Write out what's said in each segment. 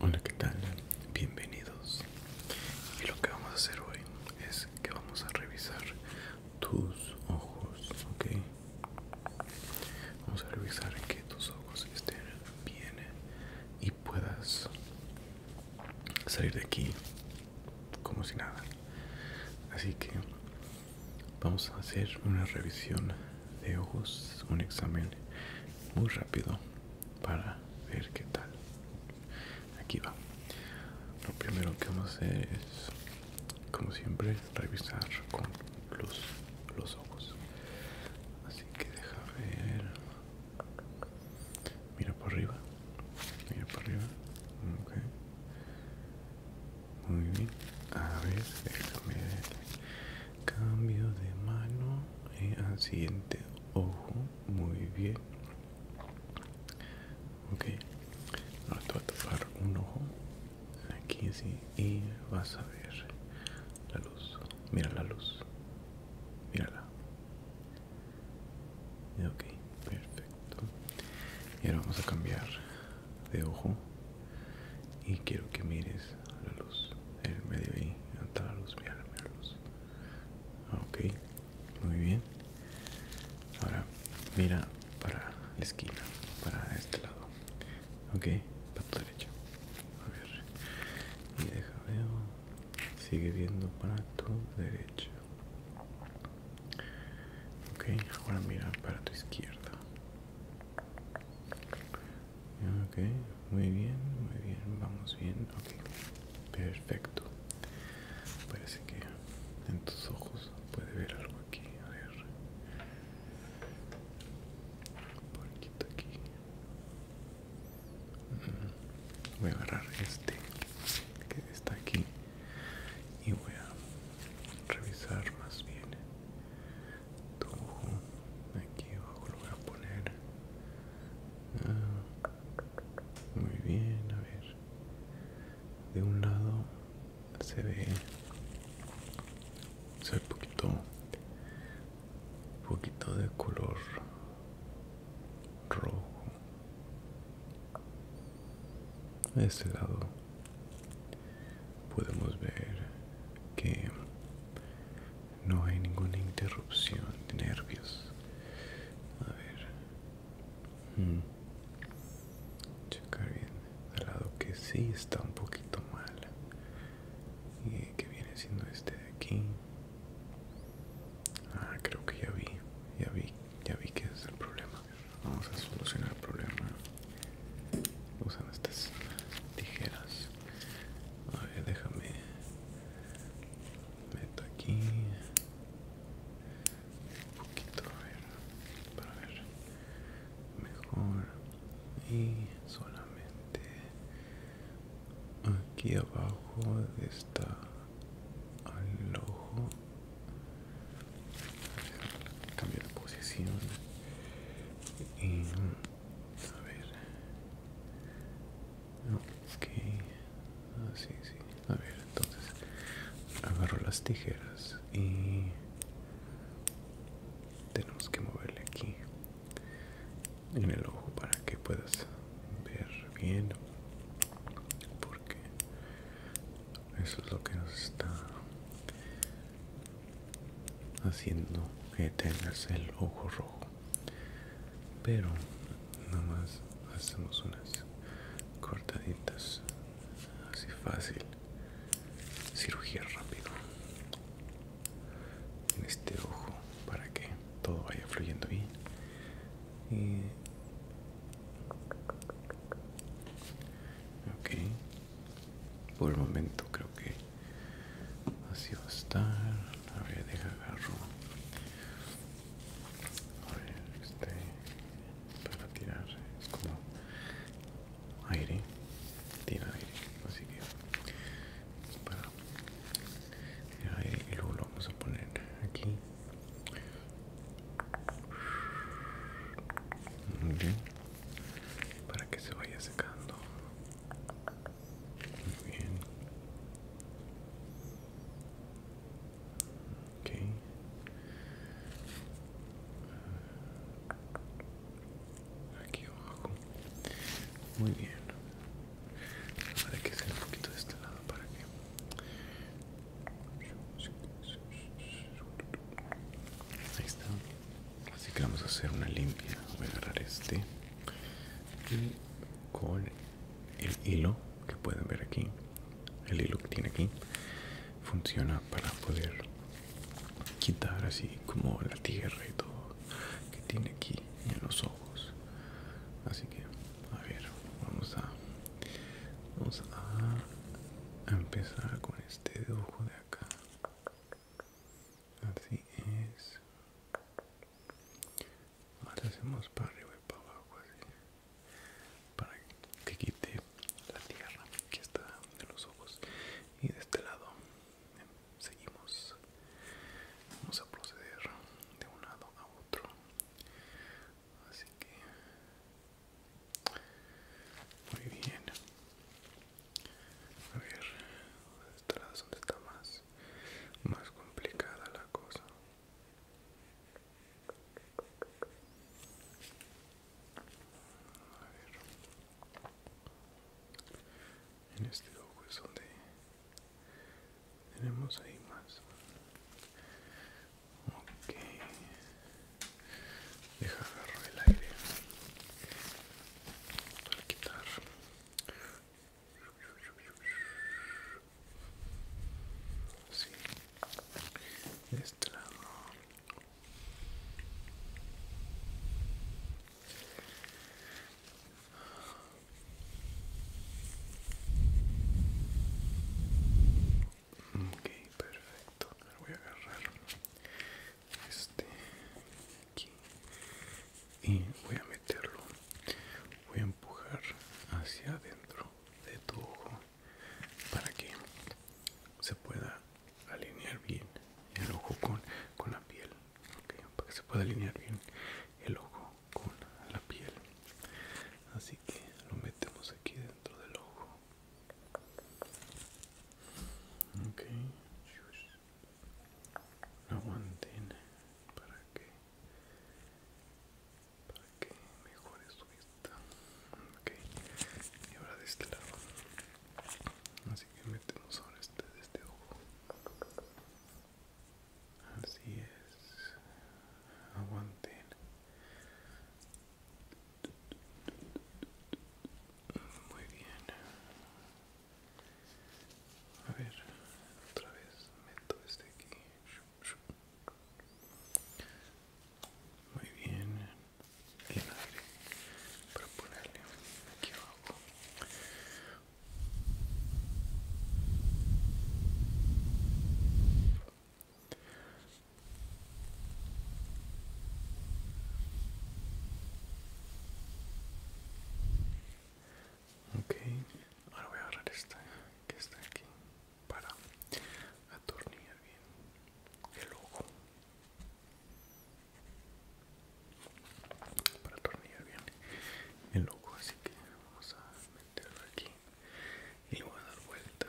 Hola, que tal? Bienvenidos. Y lo que vamos a hacer hoy es que vamos a revisar tus ojos, ¿ok? Vamos a revisar que tus ojos estén bien y puedas salir de aquí como si nada. Así que vamos a hacer una revisión de ojos un examen muy rápido para ver qué tal aquí va lo primero que vamos a hacer es como siempre revisar con los ojos así que deja ver mira por arriba mira por arriba muy bien a ver cambio de mano eh, al siguiente ojo muy bien ok ahora te voy a tapar un ojo aquí sí y vas a ver la luz mira la luz mírala ok perfecto y ahora vamos a cambiar de ojo y quiero que mires a la luz. En me debe ahí, a la luz, mira, mira la luz. Ah, ok, muy bien. Ahora mira para la esquina, para este lado. Ok, para tu derecha. A ver. Y deja veo. Sigue viendo para tu derecha. Ok, ahora mira para tu izquierda. Ah, ok, muy bien, muy bien, vamos bien. Ok, perfecto. Parece que en tus ojos puede ver algo aquí. A ver. Un poquito aquí. Mm. Voy a agarrar este que está aquí y voy a revisar más bien aquí abajo lo voy a poner ah, muy bien a ver de un lado se ve se un poquito poquito de color rojo de este lado podemos ver que no hay ninguna interrupción de nervios a ver hmm. checar bien al lado que sí está un poquito mal y que viene siendo este de aquí ah creo que ya vi ya vi ya vi que es el problema Vamos a solucionar el problema usando estas tijeras. A ver, déjame. Meto aquí. Un poquito, Para ver. Mejor. Y solamente aquí abajo está al ojo cambio de posición y, a ver que así ah, sí a ver entonces agarro las tijeras y tenemos que moverle aquí en el ojo para que puedas ver bien porque eso es lo que nos está haciendo que tengas el ojo rojo pero nada más hacemos unas cortaditas así fácil cirugía rápido en este ojo para que todo vaya fluyendo bien por el momento creo que así va a estar. A ver, deja agarro. A ver, este para tirar es como aire, tira aire, así que para tirar aire y luego lo vamos a poner aquí muy bien. Para que se vaya secando. Muy bien. Ok. Aquí abajo. Muy bien. Ahora hay que hacer un poquito de este lado para que Ahí está. Así que vamos a hacer una limpia. Voy a agarrar este y con el hilo que pueden ver aquí, el hilo que tiene aquí, funciona para poder quitar así como la tierra y todo que tiene aquí en los ojos. Así que, a ver, vamos a Vamos a empezar con este ojo de acá. Así es. Ahora hacemos para arriba y para abajo así. Para que quite la tierra que está de los ojos. Y de este lado seguimos. Vamos a proceder de un lado a otro. Así que muy bien. A ver, ¿dónde está, donde está más, más complicada la cosa? A ver. En este ojo es donde tenemos ahí más Ok. Deja agarrar el aire para quitar. Sí. De este lado ok perfecto ahora voy a agarrar este aquí y voy a meterlo voy a empujar hacia adentro de tu ojo para que se pueda alinear bien el ojo con, la piel para que se pueda alinear bien el ojo con la piel así que lo metemos aquí dentro del ojo ok aguanten para que para que mejore su vista ok y ahora de este lado así que metemos ahora este de este ojo así es aguanten muy bien. A ver, otra vez meto este aquí. Muy bien. El aire para ponerle aquí abajo. Ok, ahora voy a agarrar esta que está aquí para atornillar bien el ojo. Para atornillar bien el ojo, así que vamos a meterlo aquí y voy a dar vuelta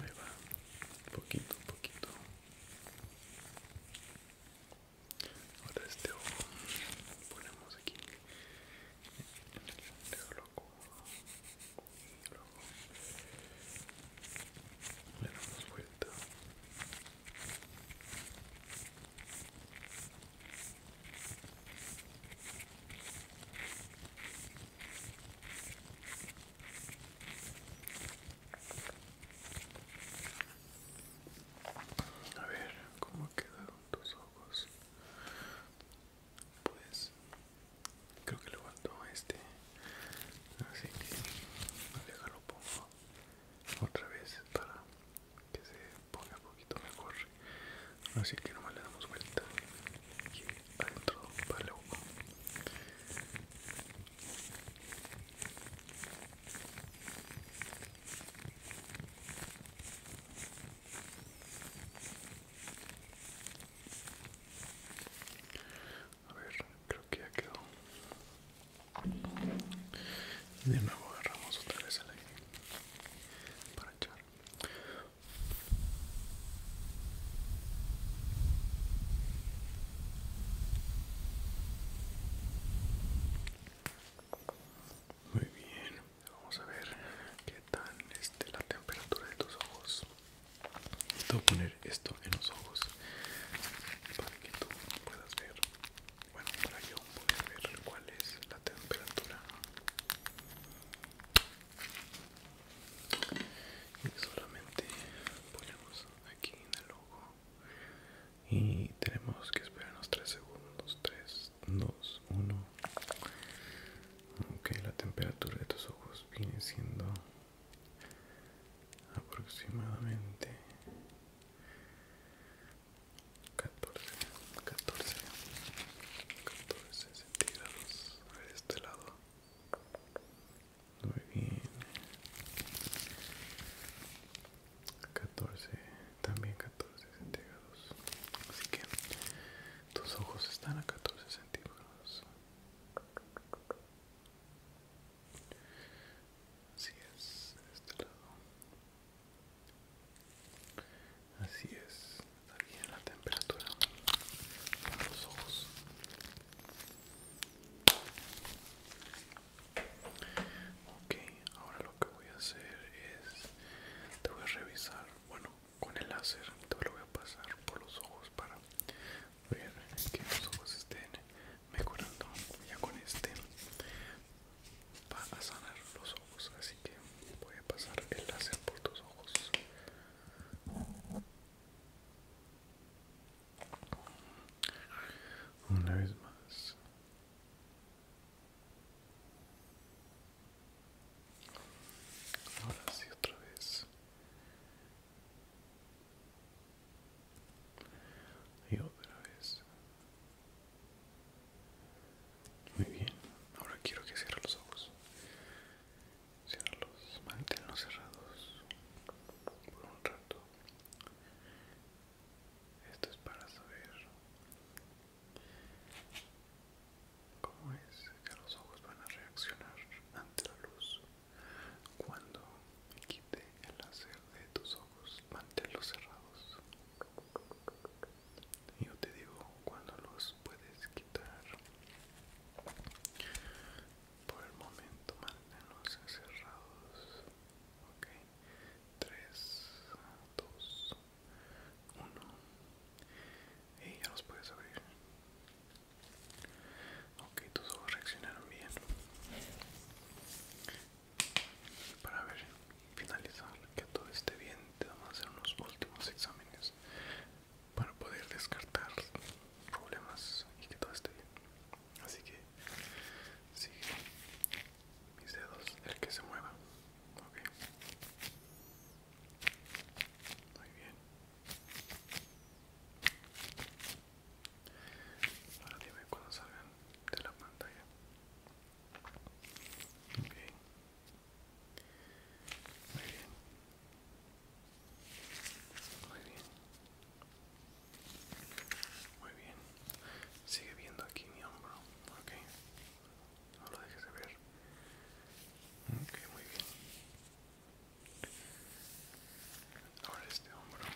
me va poquito poquito ahora este ojo ponemos aquí luego, luego le damos vuelta a ver cómo quedaron tus ojos pues creo que le faltó este así que déjalo pongo otra vez para que se ponga un poquito mejor así que nomás le damos vuelta aquí adentro para luego a ver, creo que ya quedó. de nuevo agarramos otra vez el aire para echar. Muy bien. Vamos a ver qué tal este, la temperatura de tus ojos. poner esto en los ojos para que tú puedas ver. Bueno, para yo poder ver cuál es la temperatura. Y solamente ponemos aquí en el ojo y tenemos que esperar unos 3 segundos, 3 2, 1. Ok, la temperatura de tus ojos viene siendo aproximadamente 14, 14, 14 centígrados. A ver, de este lado. Muy bien. 14 también 14 centígrados así que tus ojos están a 14 centígrados así es este lado así es está bien la temperatura de los ojos ok ahora lo que voy a hacer es te voy a revisar bueno con el láser te lo voy a pasar por los ojos para ver que los ojos estén mejorando ya con este va a sanar los ojos así que voy a pasar el láser por tus ojos una vez más Ahora sí, otra vez. Y otra vez. Muy bien. Ahora quiero que cierre los ojos. Ciérralos, manténlos cerrados por un rato. Esto es para saber ¿Cómo es que los ojos van a reaccionar ante la luz? Cuando quite el láser de tus ojos, manténlos cerrados. Yo te digo cuando los puedes quitar. Por el momento, manténlos cerrados. Ok, 3, 2, uno y ya los puedes abrir ok tus ojos reaccionaron bien para ver finalizar que todo esté bien te vamos a hacer unos últimos exámenes para poder descartar problemas y que todo esté bien así que sigue mis dedos el que se mueva muy bien. Ahora dime cuando salgan de la pantalla. Muy bien. Muy bien. Muy bien. Sigue viendo aquí mi hombro ok no lo dejes de ver ok muy bien ahora este hombro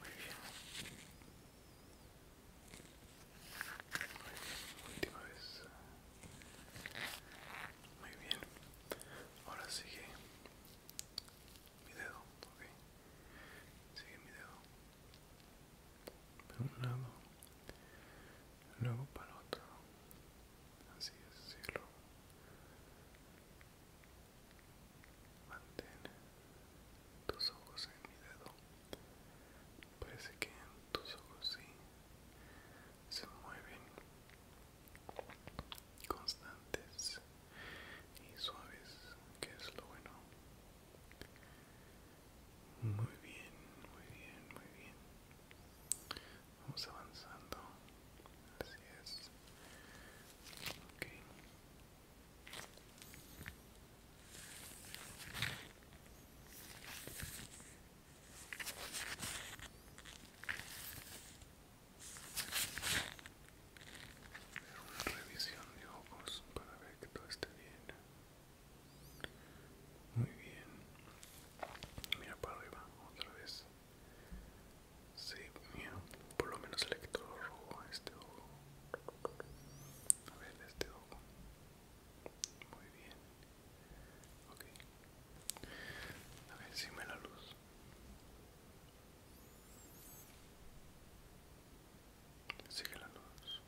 muy bien última vez muy bien ahora sigue mi dedo ok sigue mi dedo de un lado luego para el otro así es cierro mantén tus ojos en mi dedo parece que tus ojos sí se mueven constantes y suaves, que es lo bueno. Muy bien, muy bien, muy bien. Vamos avanzando. Así es. Ok una revisión de ojos para ver que todo esté bien muy bien mira para arriba otra vez si mira por lo menos el rojo a este ojo a ver este ojo muy bien ok a ver si me la luz Sigue la luz.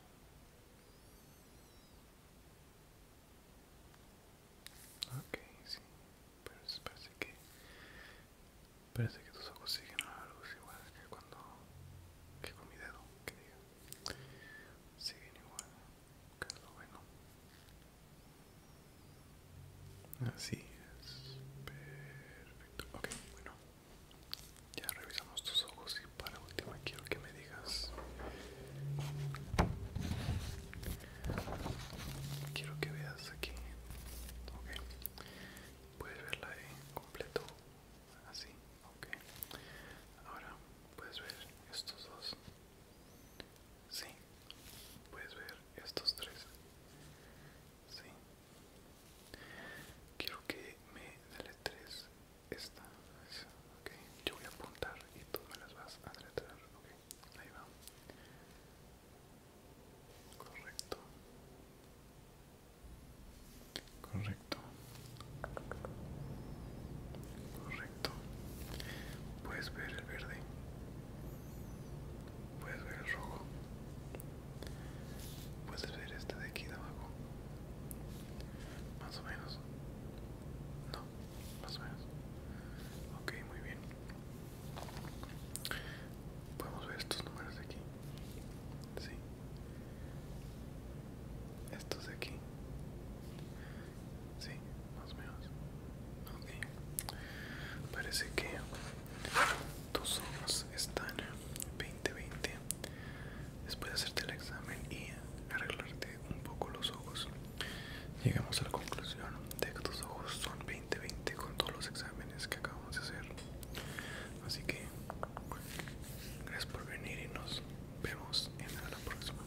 Ok, sí. Pero parece que... Parece que tus ojos siguen a la luz igual que cuando... Que con mi dedo, que diga. Siguen igual, que es lo bueno. Así es. Perfecto. Ok, bueno. Ya revisamos tus ojos y para última quiero que me digas... Quiero que veas aquí. Ok. Puedes verla en eh, completo. Así. Ok. Ahora puedes ver estos dos. Sí. Puedes ver estos tres. Sí. Quiero que me deletres esta. Okay. Yo voy a apuntar y tú me las vas a deletrear. Okay. Ahí va. Correcto. Correcto. Correcto. Puedes ver el verde. Puedes ver el rojo. Puedes ver este de aquí de abajo. Más o menos. No, más o menos. Ok, muy bien. Podemos ver estos números de aquí. Sí. Estos de aquí. Sí, más o menos. Ok. Parece que tus ojos están 20-20. Después de hacerte el examen y arreglarte un poco los ojos, llegamos a la conclusión de que tus ojos son 20-20 con todos los exámenes que acabamos de hacer. Así que gracias por venir y nos vemos en la próxima.